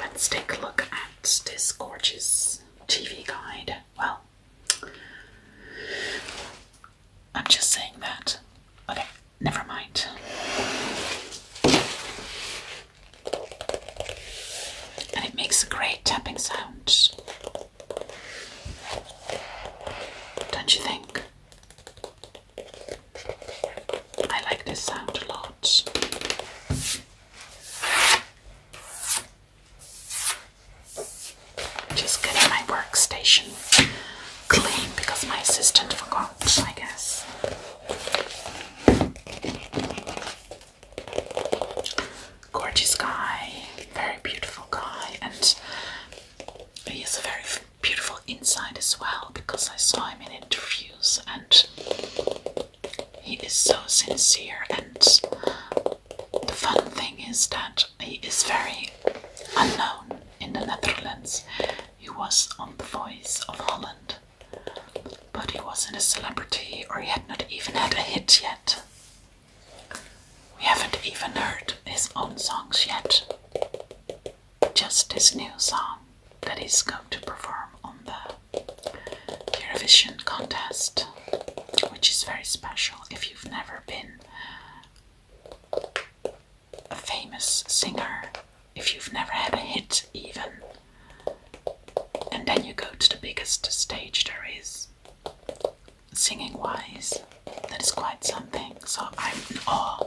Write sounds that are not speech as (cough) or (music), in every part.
Let's take a look at this gorgeous TV guide. Well, I'm just saying that. Okay, never mind. And it makes a great tapping sound. Don't you think? I like this sound a lot. Just getting my workstation clean because my assistant forgot, I guess. Gorgeous guy, very beautiful guy, and he is a very beautiful inside as well because I saw him in interviews and he is so sincere. And the fun thing is that he is very unknown in the Netherlands. He was on The Voice of Holland, but he wasn't a celebrity or he had not even had a hit yet. We haven't even heard his own songs yet just this new song that he's going to perform on the Eurovision contest, which is very special if you've never been a famous singer, if you've never had a hit even. And then you go to the biggest stage there is, singing wise. That is quite something. So I'm in awe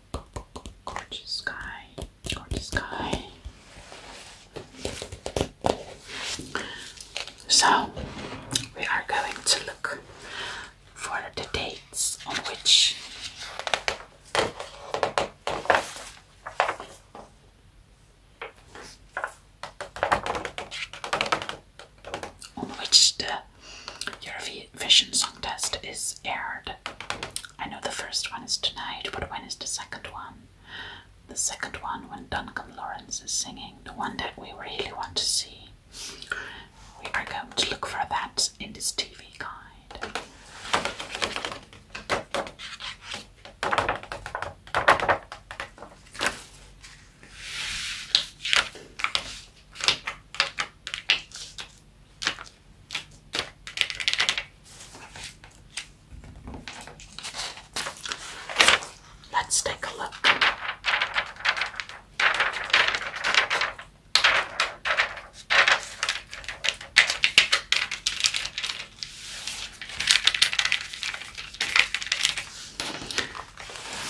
Gorgeous guy, gorgeous guy. So, we are going to look for the dates on which on which the your vision Song Test is aired. I know the first one is tonight, but when is the second one? The second one when Duncan Lawrence is singing, the one that we really want to see. We are going to look for that in this TV guide. Let's take a look.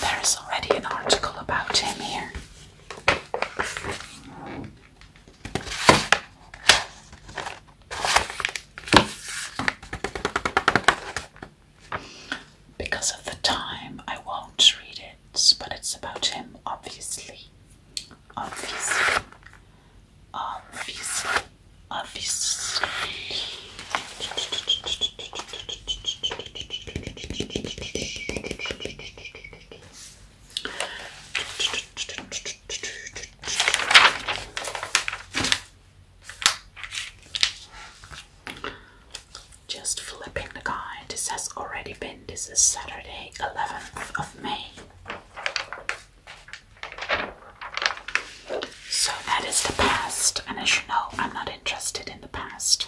There is already an article about him here. Because of the time, I won't read it, but it's about him, obviously. Obviously. Obviously. Obviously. Just flipping the guy. This has already been. This is Saturday, eleventh of May. So that is the past, and as you know, I'm not interested in the past.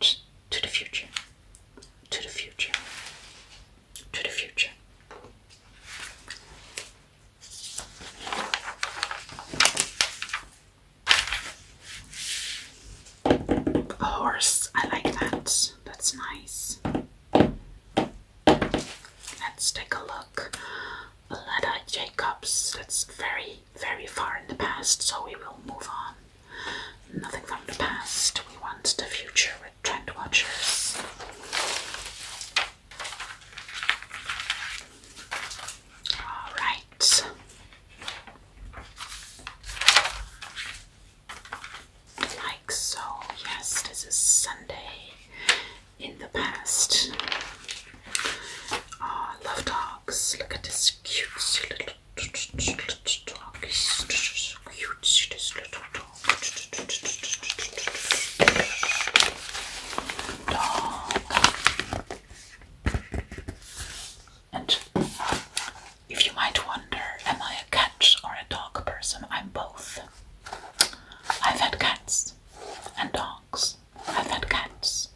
to the future, to the future, to the future. A horse, I like that. That's nice. Let's take a look. Leda Jacobs, that's very, very far in the past, so we will move on. Nothing from the past. We want the future with Trend Watchers. All right. Like so. Yes, this is Sunday in the past. Ah, love dogs. Look at this cute little Little dog is so cute, see this little dog. Dog. And if you might wonder, am I a cat or a dog person? I'm both. I've had cats and dogs. I've had cats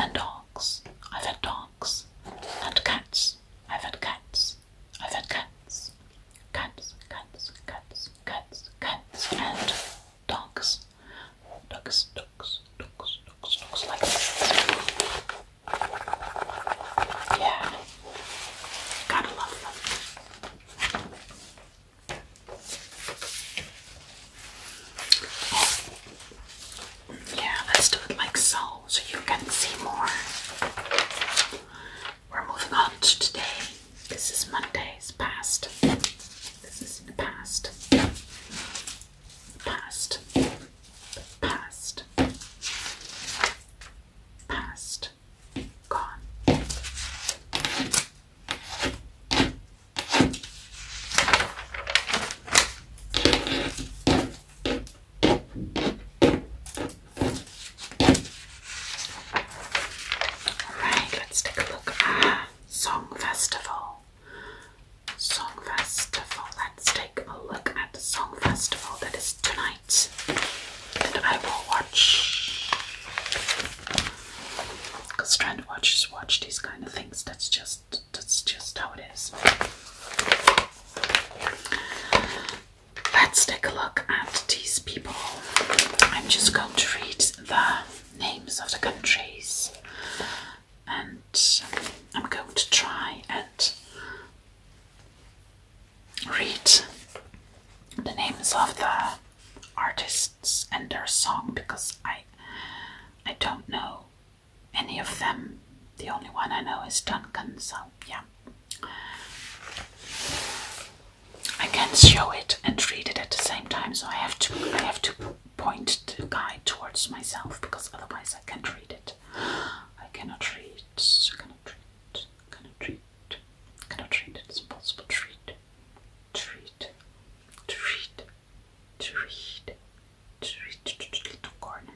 and dogs. I've had dogs dogs and cats. I've had cats. I've had cats. Cats, cats, cats, cats, cats, and dogs. Dogs, dogs, dogs, dogs, dogs, like this. Yeah. Gotta love them. Oh, yeah, let's do it like so, so you can see more. We're moving on to today. This is Monday's past. This is in the past. Past. Past. Past. Gone. Alright, let's take a look at Song Festival. Song Festival. Let's take a look at the Song Festival that is tonight. And I will watch. Because trend watchers watch these kind of things. That's just that's just how it is. Let's take a look at these people. I'm just going to read the names of the countries and I'm going to try and read the names of the artists and their song because I I don't know any of them. The only one I know is Duncan, so yeah. I can show it and read it at the same time, so I have to I have to point the guy towards myself because otherwise I can't read it. I cannot read, cannot read, cannot read, cannot read. It's impossible to read, to read, read, to read, little corner.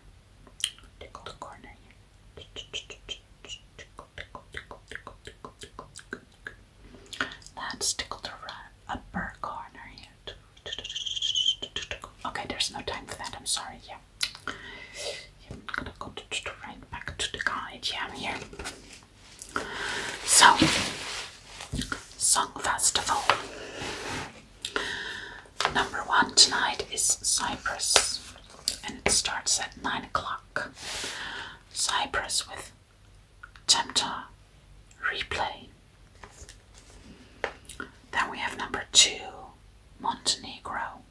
Tickle the corner here. Let's tickle the upper corner here. Okay, there's no time for that. I'm sorry. Yeah. I'm gonna go right back to the guide. here. So, Song Festival. Number one tonight is Cyprus, and it starts at 9 o'clock. Cyprus with Tempta Replay. Then we have number two, Montenegro.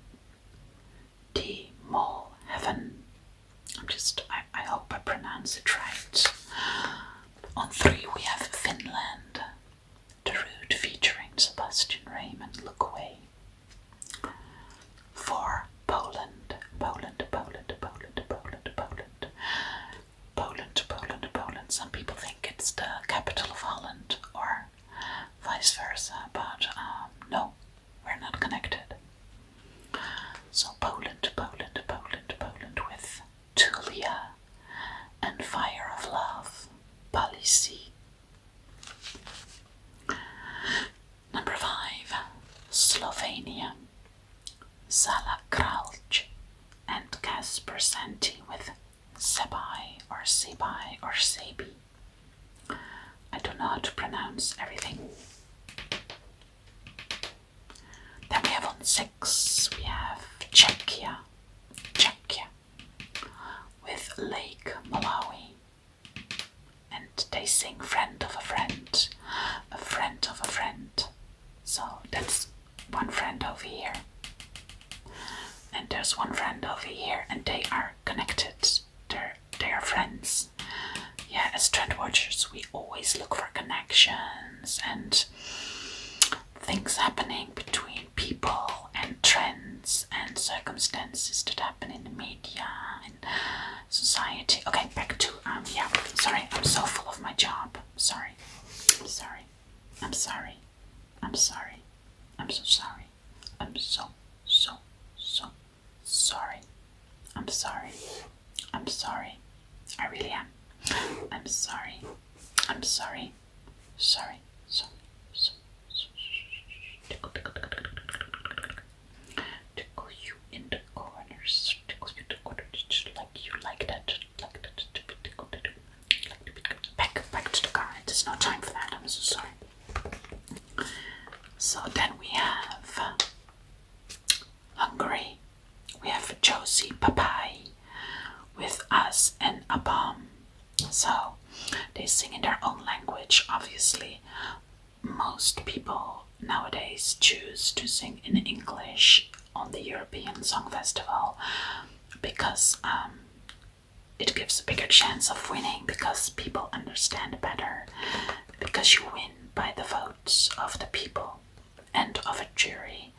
D Mall Heaven. I'm just, I, I hope I pronounce it right. On three, we have Finland. Darude featuring Sebastian Raymond, Look Away. For Poland, Poland, Poland, Poland, Poland, Poland. Poland, Poland, Some people think it's the capital of Holland or vice versa, but um, no, we're not connected. So Poland, Poland, Poland, Poland with Tulia, and Fire of Love, Policy. Number five, Slovenia, Zala Kralj and Kasper Santi with Sebai or Sebai or Sebi. I do not pronounce everything. Then we have on six, we have Czechia, Czechia, with Lake Malawi. And they sing friend of a friend, a friend of a friend. So that's one friend over here. And there's one friend over here, and they are connected. They're, they are friends. Yeah, as trend watchers, we always look for connections and things happening between people and trends and circumstances that happen in the media and society. Okay, back to um yeah, sorry, I'm so full of my job. Sorry. I'm sorry. I'm sorry. I'm sorry. I'm so sorry. I'm so so so sorry. I'm sorry. I'm sorry. I really am. I'm sorry. I'm sorry. Sorry, sorry, sorry. Tickle, tickle, tickle, tickle, tickle. Tickle you in the corners. Tickle you in the corners. Just like you like that. Like that. Tickle, tickle, tickle. Like to be back, back to the car. There's no time for that. I'm so sorry. So then we have Hungary. We have Josie Papai with us and Abam. So they sing in their own language. Obviously, most people nowadays choose to sing in English on the European Song Festival because um, it gives a bigger chance of winning because people understand better because you win by the votes of the people and of a jury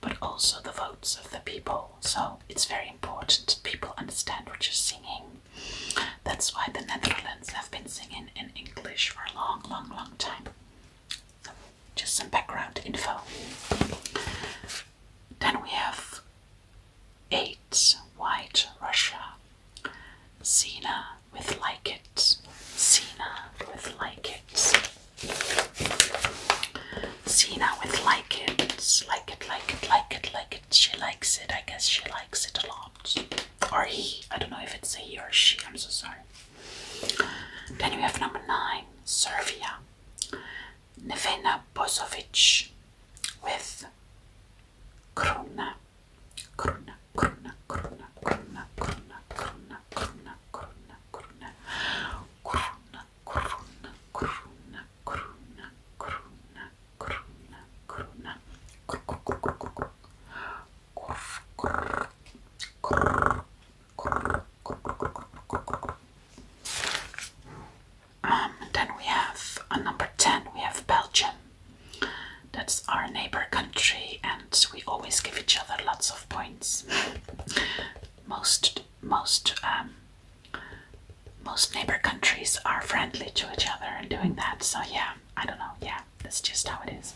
but also the votes of the people. So it's very important people understand what you're singing. That's why the Netherlands have been singing in English for a long, long, long time. So just some background info. Then we have eight White Russia. Cena with like it. Cena with like it. See now with like it, like it, like it, like it, like it. She likes it. I guess she likes it a lot. Or he. I don't know if it's a he or she. I'm so sorry. Then you have number nine, Serbia. Nevena Bozovic with Kruna. Kruna, Kruna, Kruna, Kruna, Kruna, Kruna, Kruna, Kruna, Kruna, Kruna, corona, corona, corona, corona, corona, corona, um, then we have uh, number 10, we have Belgium. That's our neighbor country, and we always give each other lots of points. Most most um, most neighbor countries are friendly to each other and doing that. So yeah, I don't know. Yeah, that's just how it is.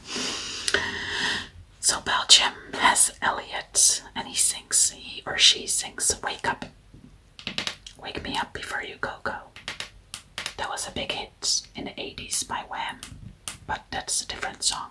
So Belgium has Elliot, and he sings. He or she sings "Wake Up, Wake Me Up Before You Go Go." That was a big hit in the '80s by Wham, but that's a different song.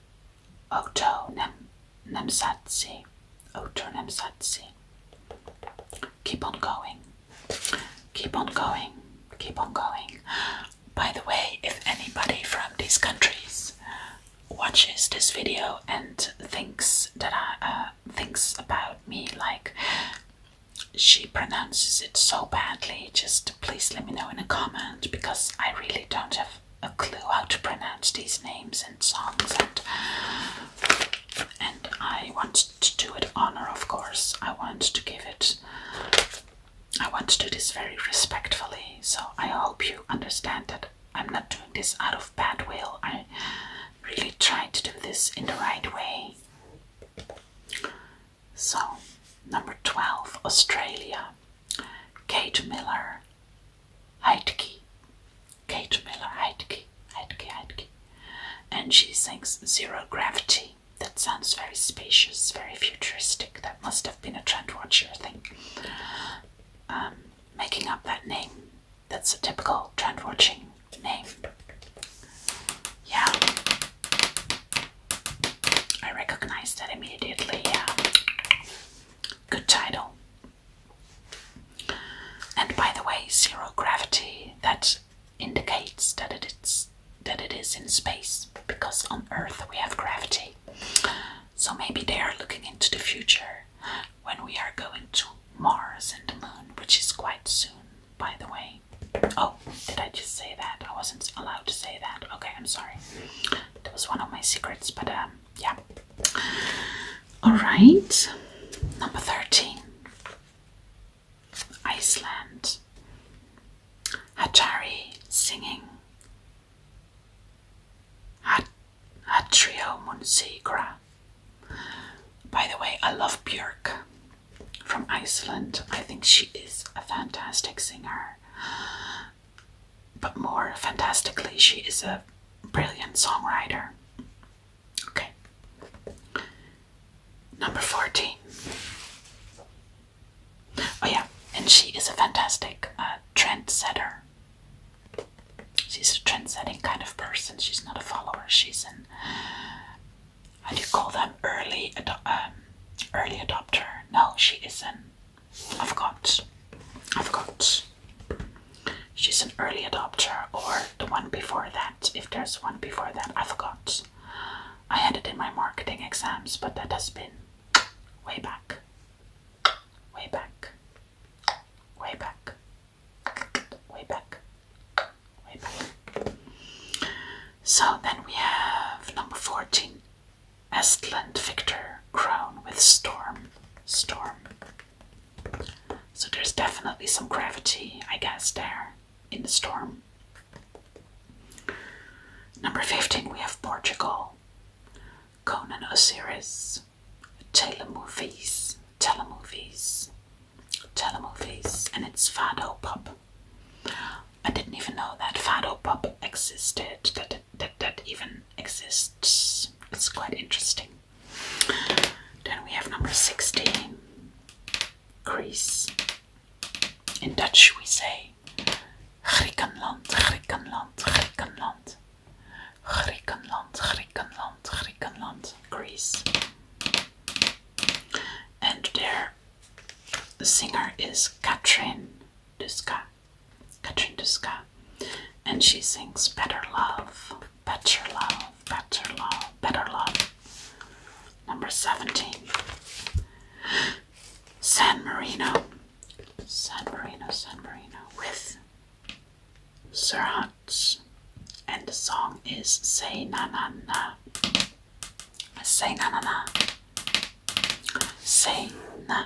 Oto nem, Nemsatsi. Oto Nemsatsi. Keep on going. Keep on going. Keep on going. By the way, if anybody from these countries watches this video and thinks that I uh, thinks about me like she pronounces it so badly, just please let me know in a comment because I really don't have a clue how to pronounce these names and songs and and I want to do it honor of course. I want to give it I want to do this very respectfully, so I hope you understand that I'm not doing this out of bad will. I really try to do this in the right way. So, number 12, Australia. Kate Miller Heidke. Kate Miller Heidke. Heidke Heidke. And she sings Zero Gravity. That sounds very spacious, very futuristic. That must have been a trendwatcher thing. Um, making up that name. That's a typical trendwatching name. Yeah. I recognized that immediately, yeah. Good title. And by the way, zero gravity, that indicates that it is that it is in space, because on Earth we have gravity. So maybe they are looking into the future when we are going to Mars and the Moon, which is quite soon, by the way. Oh, did I just say that? I wasn't allowed to say that. Okay, I'm sorry. That was one of my secrets, but um, yeah. All right, number 13 Iceland. Hatari singing. Hat Hatrio Munsigra. By the way, I love Björk from Iceland. I think she is a fantastic singer but more fantastically, she is a brilliant songwriter. Okay. Number 14. Oh, yeah, and she is a fantastic uh, trendsetter. She's a trendsetting kind of person. She's not a follower. She's an, do you call them, early, um, early adopter? No, she is not I forgot. I forgot. She's an early adopter, or the one before that, if there's one before that. I forgot. I had it in my marketing exams, but that has been way back. Way back. Way back. Way back. Way back. So then we have number 14 Estland Victor crown with storm. Storm. So there's definitely some gravity, I guess, there in the storm. Number 15, we have Portugal. Conan Osiris. Telemovies. Telemovies. Telemovies. And it's Fado Pop. I didn't even know that Fado Pop existed, that that, that even exists. It's quite interesting. Then we have number 16, Greece. In Dutch we say Griekenland, Griekenland, Griekenland. Griekenland, Griekenland, Griekenland, Greece. And their singer is Katrin Duska. Katrinduska, and she sings Better Love, Better Love, Better Love, Better Love. Number 17. San Marino, San Marino, San Marino, with Serhat. And the song is Say Na Na Na. Say Na Na Na. Say Na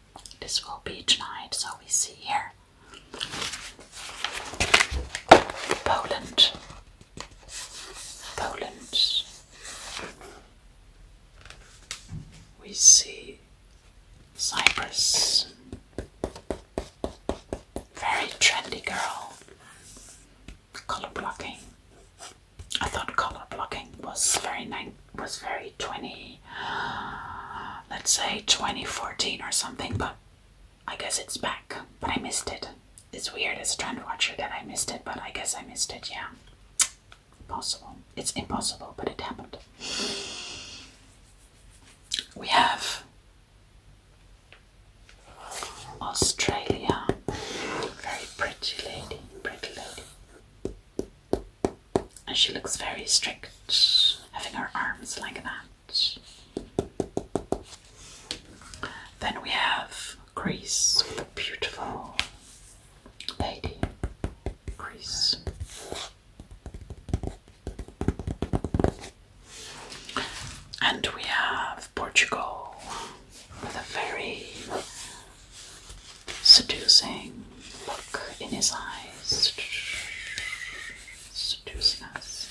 This will be tonight, so we see here. Poland. Poland. We see Cyprus. Very trendy girl. Color blocking. I thought color blocking was very nine was very twenty let's say twenty fourteen or something, but I guess it's back. But I missed it. It's weird as a trend watcher that I missed it, but I guess I missed it, yeah. Possible. It's impossible, but it happened. We have Australia. Very pretty lady, pretty lady. And she looks very strict, having her arms like that. Then we have Greece with a beautiful lady. Greece. And we have Portugal with a very seducing look in his eyes, seducing us,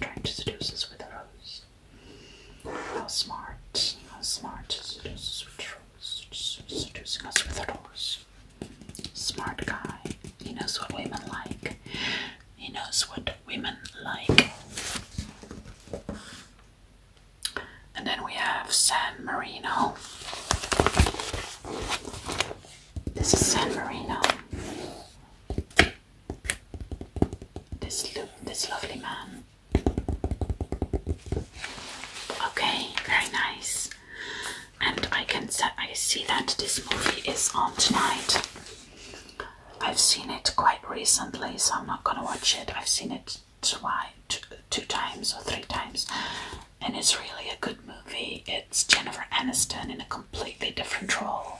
trying to seduce us with a rose. How smart, how smart to seduce us with a rose, seducing us with a rose. Smart guy, he knows what women like. He knows what women like. And then we have San Marino. This is San Marino. This look, this lovely man. Okay, very nice. And I can see that this movie is on tonight. I've seen it quite recently, so I'm not gonna watch it. I've seen it twice, two, two times or three times, and it's really a good movie. It's Jennifer Aniston in a completely different role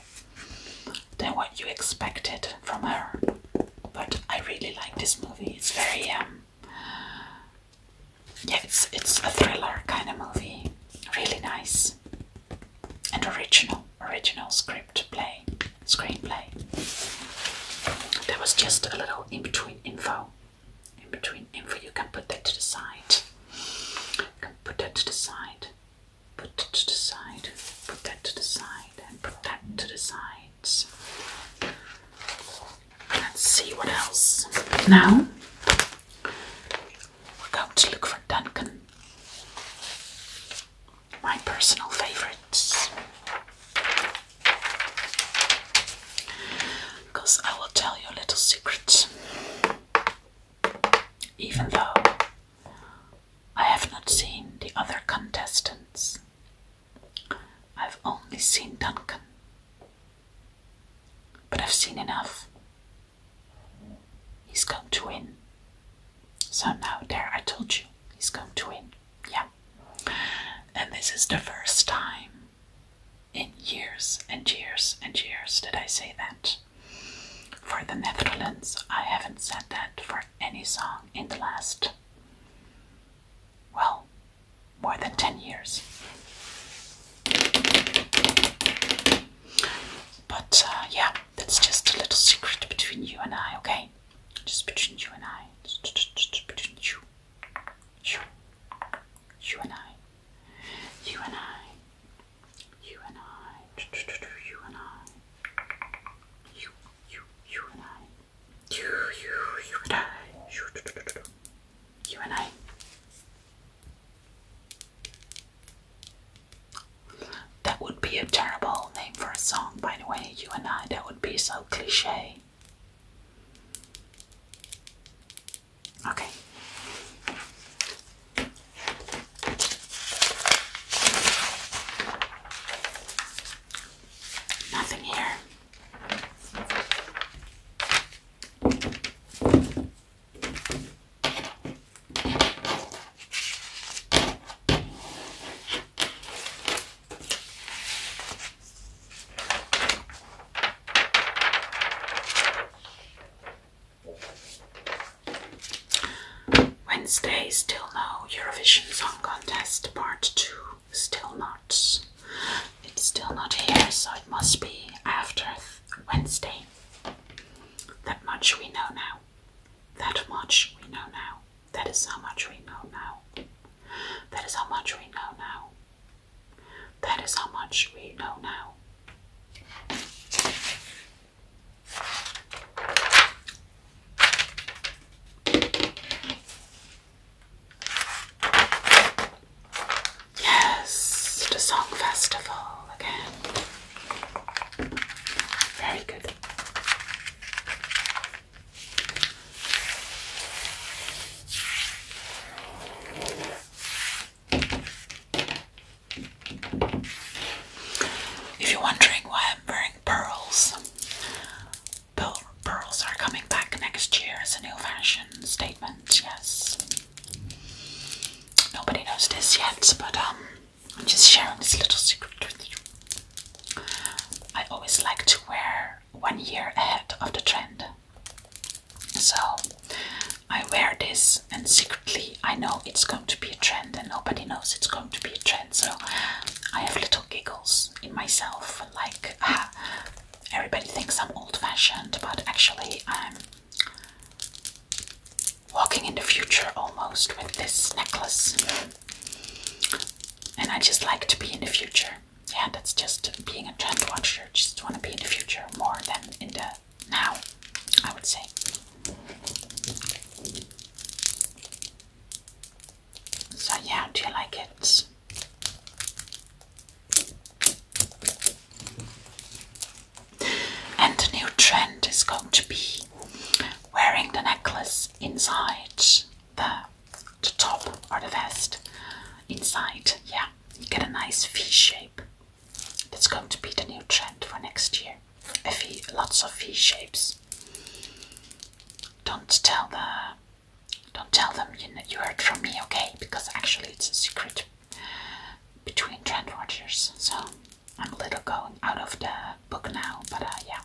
than what you expected from her, but I really like this movie. It's very um, yeah, it's it's a thriller kind of movie, really nice and original, original script play, screenplay. That was just a little in between info. In between info, you can put that to the side. can put that to the side. Put that to the side. Put that to the side. And put that to the sides. Let's see what else. Now we're going to look for Duncan. My personal favorites. Because I will tell you a little secret. Even though I have not seen the other contestants, I've only seen Duncan. But I've seen enough. He's going to win. So now, there, I told you, he's going to win. Yeah. And this is the first time in years and years and years did I say that. For the Netherlands, I haven't said that for any song in the last, well, more than 10 years. But uh, yeah, that's just a little secret between you and I, okay? Just between you and I. Just between you you, and I, you and I, you and I, you and I, you, you, you and I, you, you, you and I, you and I. That would be a terrible name for a song, by the way. You and I. That would be so cliche. Okay. Nothing here. Wednesday, still no Eurovision Song Contest Part 2, still not. It's still not here, so it must be after Wednesday. That much we know now. That much we know now. That is how much we know now. That is how much we know now. That is how much we know now. Yes, the Song Festival again. Very good. If you're wondering why I'm wearing pearls, pearl, pearls are coming back next year as a new fashion statement, yes. Nobody knows this yet, but um, I'm just sharing this little secret with you. I always like to wear one year ahead of the trend. So I wear this, and secretly I know it's going to be a trend, and nobody knows it's going to be a trend. So I have little giggles in myself, like ah, everybody thinks I'm old fashioned, but actually I'm walking in the future almost with this necklace. And I just like to be in the future. Yeah, that's just being a trend watcher. Just want to be in the future more than in the now, I would say. So, yeah, do you like it? And the new trend is going to be wearing the necklace inside the the top or the vest inside. Yeah, you get a nice V shape. That's going to be the new trend for next year. lots of V shapes. Don't tell the, don't tell them you you heard from me, okay? Because actually it's a secret between trend watchers. So I'm a little going out of the book now, but uh, yeah.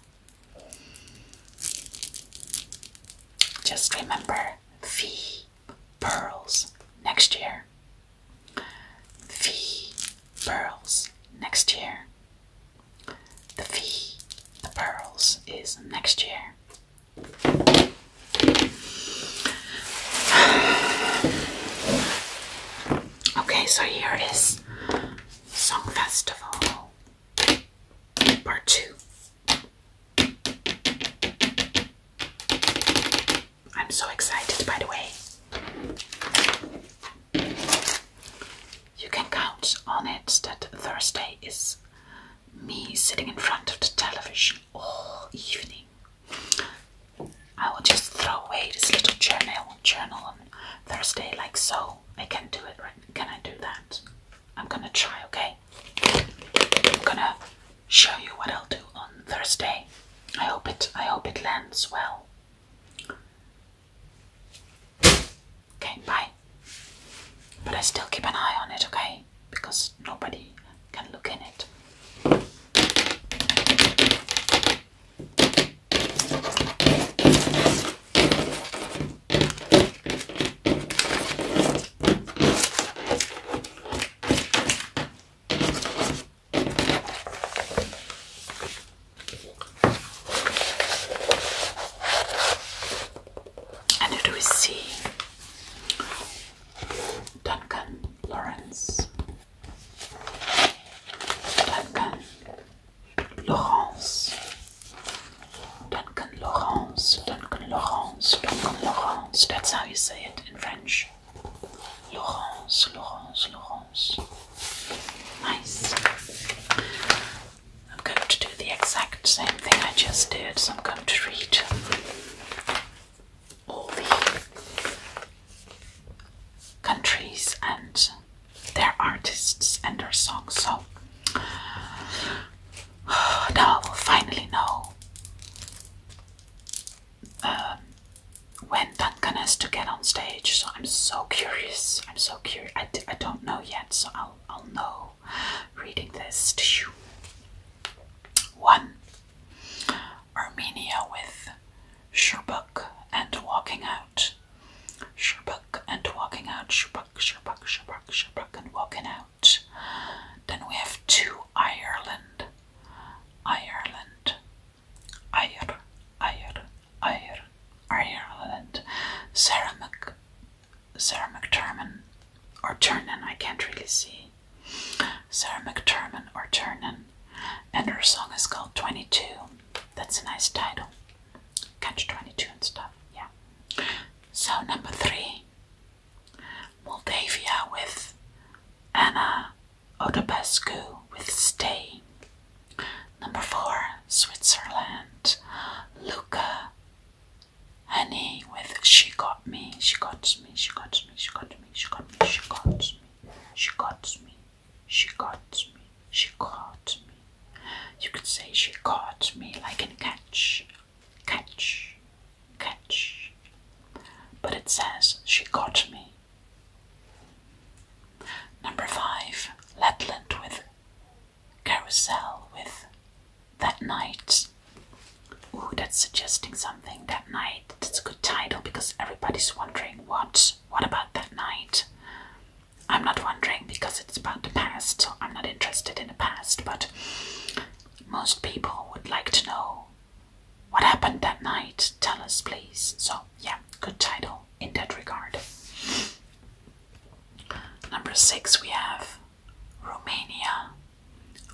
Just remember V pearls next year. V pearls next year. The V, the pearls is next year. (sighs) Okay, so here is Song Festival Part two. I'm so excited, by the way. You can count on it that Thursday is me sitting in front of the television all evening. I will just throw away this little journal journal on Thursday like so. I can do it right can I do that? I'm gonna try, okay? I'm gonna show you what I'll do on Thursday. I hope it I hope it lands well. Okay, bye. But I still keep an eye on it, okay? Because nobody can look in it. And who do we see? Duncan Lawrence. Duncan Laurence. Duncan Laurence. Duncan Laurence. Duncan Laurence. That's how you say it in French. Laurence. Laurence. Laurence. Nice. I'm going to do the exact same thing I just did, so I'm going to read all the countries and their artists and their songs. So (sighs) now I will finally know um, when Duncan has to get on stage. So I'm so curious. I'm so curious. I, I don't know yet, so I'll, I'll know reading this. to you. One Armenia with Sherbuk and walking out. Sherbuck and walking out. Sherbuck, Sherbuck, Sherbuck, Sherbuck and walking out. Then we have two Ireland. Ireland. Ire, Ire, Ire, Ireland. Sarah Mc, Sarah McTurnan or Turnan, I can't really see. Sarah McTurnan or Turnan, And her song is called 22. That's a nice title catch 22 and stuff. Yeah. So, number three Moldavia with Anna Odobescu with Stay. Number four Switzerland, Luca Honey with She Got Me, She Got Me, She Got Me, She Got Me, She Got Me, She Got Me. She got me. She caught me. She caught me. You could say she caught me like in catch, catch, catch. But it says she caught me. Number five, Letland with carousel with that night. Ooh, that's suggesting something that night. That's a good title because everybody's wondering what. What about that night? I'm not wondering because it's about the past, so I'm not interested in the past, but most people would like to know what happened that night. Tell us, please. So, yeah, good title in that regard. Number six, we have Romania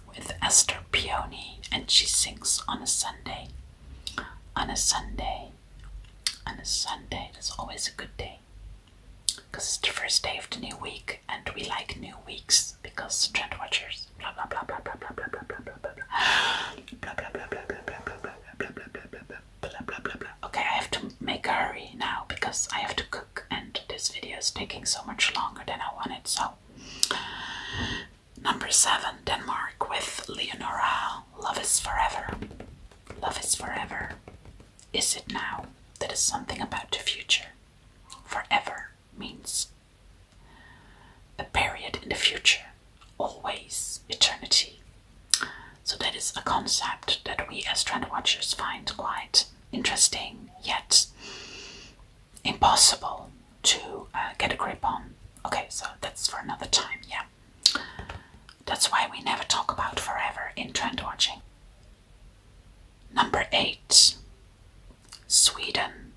with Esther Peony, and she sings on a Sunday. On a Sunday, and a Sunday is always a good day because it's the first day of the new week and we like new weeks because trend watchers blah blah blah blah blah blah blah blah blah blah blah blah blah blah blah blah blah okay I have to make a hurry now because I have to cook and this video is taking so much longer than I wanted so number seven Denmark with Leonora Love is Forever Love is forever. Is it now? That is something about the future. Forever means a period in the future, always, eternity. So that is a concept that we as trend watchers find quite interesting, yet impossible to uh, get a grip on. Okay, so that's for another time, yeah. That's why we never talk about forever in trend watching. Number 8 Sweden.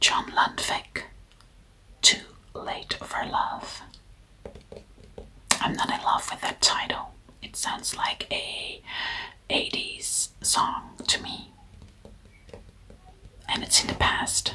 John Lundvik, Too Late for Love. I'm not in love with that title. It sounds like a 80s song to me. And it's in the past.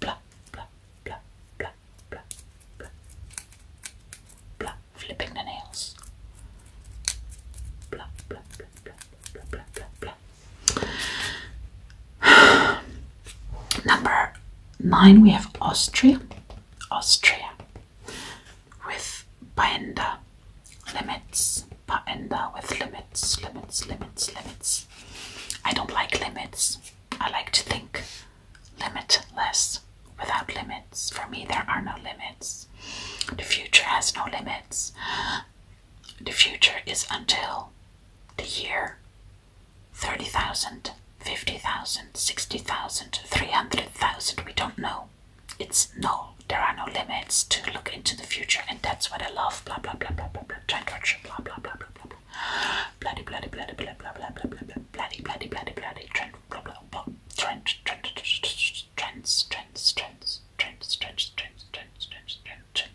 Blah, blah, blah, blah, blah, blah. Blah, flipping the nails. Blah, blah, blah, blah, blah, blah, blah, blah. (sighs) Number nine, we have Austria. Austria with Paenda limits. Paenda with limits, limits, limits, limits limits. I don't like limits. I like to think limitless without limits. For me, there are no limits. The future has no limits. The future is until the year 30,000, 50,000, 60,000, 300,000. We don't know. It's no, there are no limits to look into the future, and that's what I love. Blah blah blah blah blah blah. Trying torture. Blah blah blah blah blah blah. Bloody, bloody, bloody, bloody, bloody, bloody, bloody, bloody, bloody, bloody, trend, blah, blah, blah, trend, trend, trends, trends, trends, trends, trends, trends, trends, trends, trends, trends,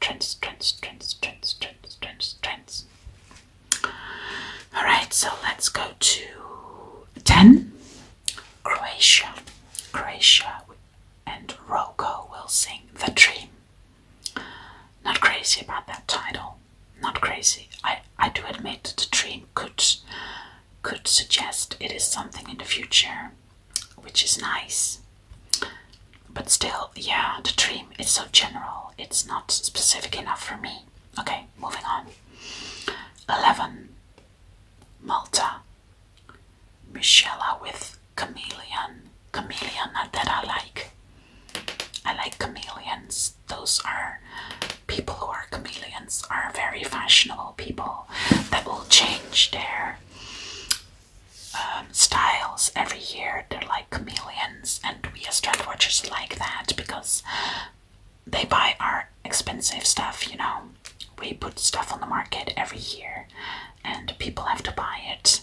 trends, trends, trends, trends, trends, trends, trends. All right, so let's go to ten. Croatia, Croatia, and Rocco will sing the dream. Not crazy about that title. Not crazy. I, I do admit that the dream could could suggest it is something in the future, which is nice. But still, yeah, the dream is so general, it's not specific enough for me. Okay, moving on. 11. Malta. Michela with chameleon. Chameleon Not that I like. I like chameleons. Those are people who are chameleons are very fashionable people that will change their um, styles every year. They're like chameleons, and we as trend watchers like that because they buy our expensive stuff. You know, we put stuff on the market every year, and people have to buy it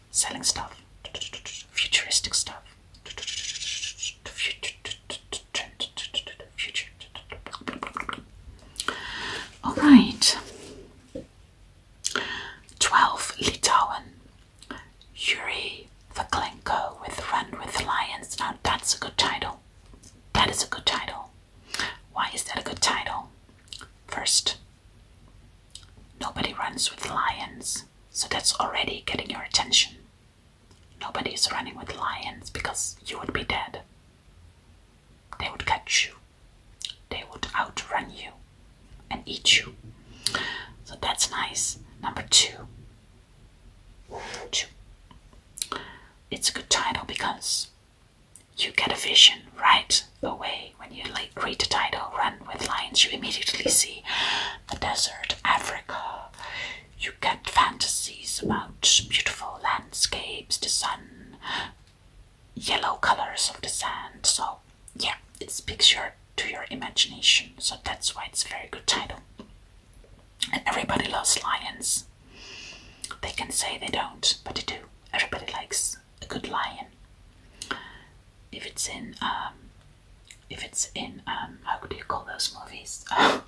selling stuff, futuristic stuff, All right. 12. Litauen. Yuri Vaklenko with Run with Lions. Now that's a good title. That is a good title. Why is that a good title? First, Nobody runs with lions, so that's already getting your attention. Nobody is running with lions because you would be dead. They would catch you, they would outrun you and eat you. So that's nice. Number two. two. It's a good title because you get a vision right away when you create a title Run with Lions. You immediately see the desert, Africa. You get fantasies about beautiful landscapes, the sun, yellow colors of the sand. So, yeah, it speaks to your imagination. So that's why it's a very good title. And everybody loves lions. They can say they don't, but they do. Everybody likes a good lion. If it's in, um, if it's in, um, how do you call those movies? (laughs) Uh,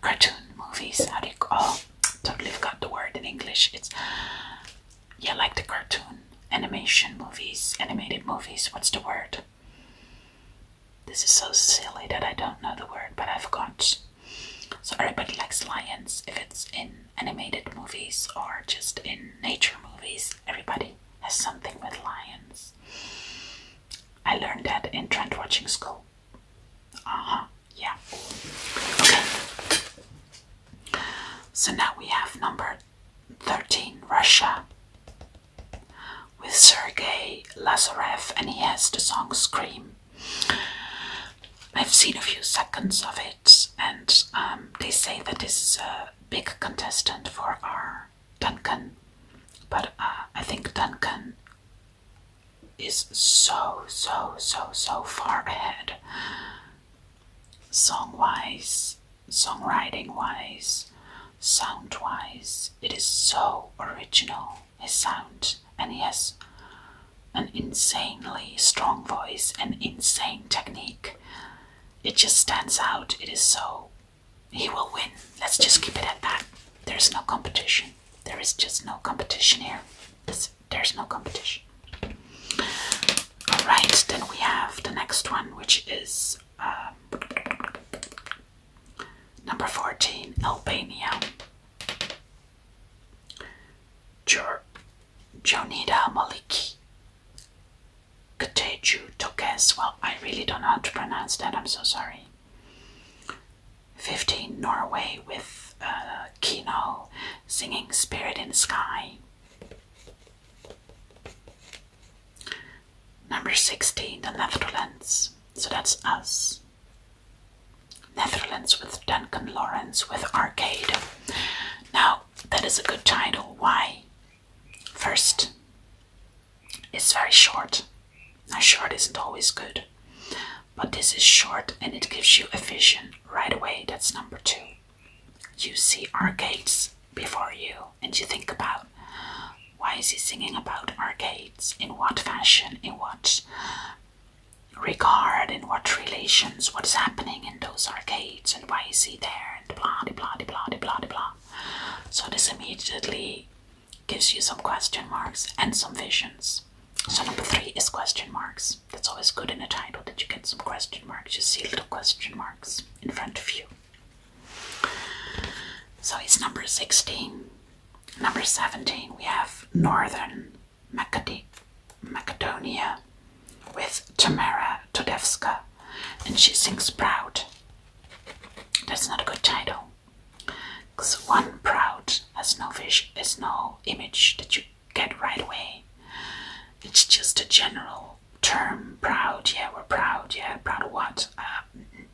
cartoon movies. How do you? Oh, totally forgot the word in English. It's yeah, like the cartoon animation movies, animated movies. What's the word? This is so silly that I don't know the word, but I forgot. So everybody likes lions if it's in animated movies or just in nature movies, everybody has something with lions. I learned that in trend watching school. Uh huh, yeah. Okay. So now we have number 13, Russia, with Sergey Lazarev, and he has the song Scream. I've seen a few seconds of it and um, they say that this is a big contestant for our Duncan. But uh, I think Duncan is so, so, so, so far ahead. Song wise, songwriting wise, sound wise, it is so original, his sound, and yes an insanely strong voice and insane technique. It just stands out. It is so. He will win. Let's just keep it at that. There's no competition. There is just no competition here. There's, no competition. Alright, then we have the next one, which is um, number 14 Albania. Jonida Maliki. Kateju Tokes. Well, I really don't know how to pronounce that. I'm so sorry. 15 Norway with uh, Kino singing Spirit in the Sky. Number 16, the Netherlands. So that's us. Netherlands with Duncan Lawrence with Arcade. Now, that is a good title. Why? First, it's very short. Now, short isn't always good, but this is short and it gives you a vision right away. That's number two. You see arcades before you, and you think about why is he singing about arcades? In what fashion? In what regard in what relations, what's happening in those arcades, and why is he there, and blah, de blah, blah, blah, blah. So this immediately gives you some question marks and some visions. So number three is question marks. That's always good in a title that you get some question marks. You see little question marks in front of you. So it's number 16. Number 17, we have northern Macedonia with Tamara Todevska, and she sings Proud. That's not a good title. Because one proud has no fish, is no image that you get right away. It's just a general term. Proud, yeah, we're proud, yeah, proud of what? Uh,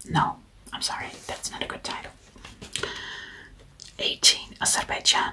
no, I'm sorry, that's not a good title. 18. Azerbaijan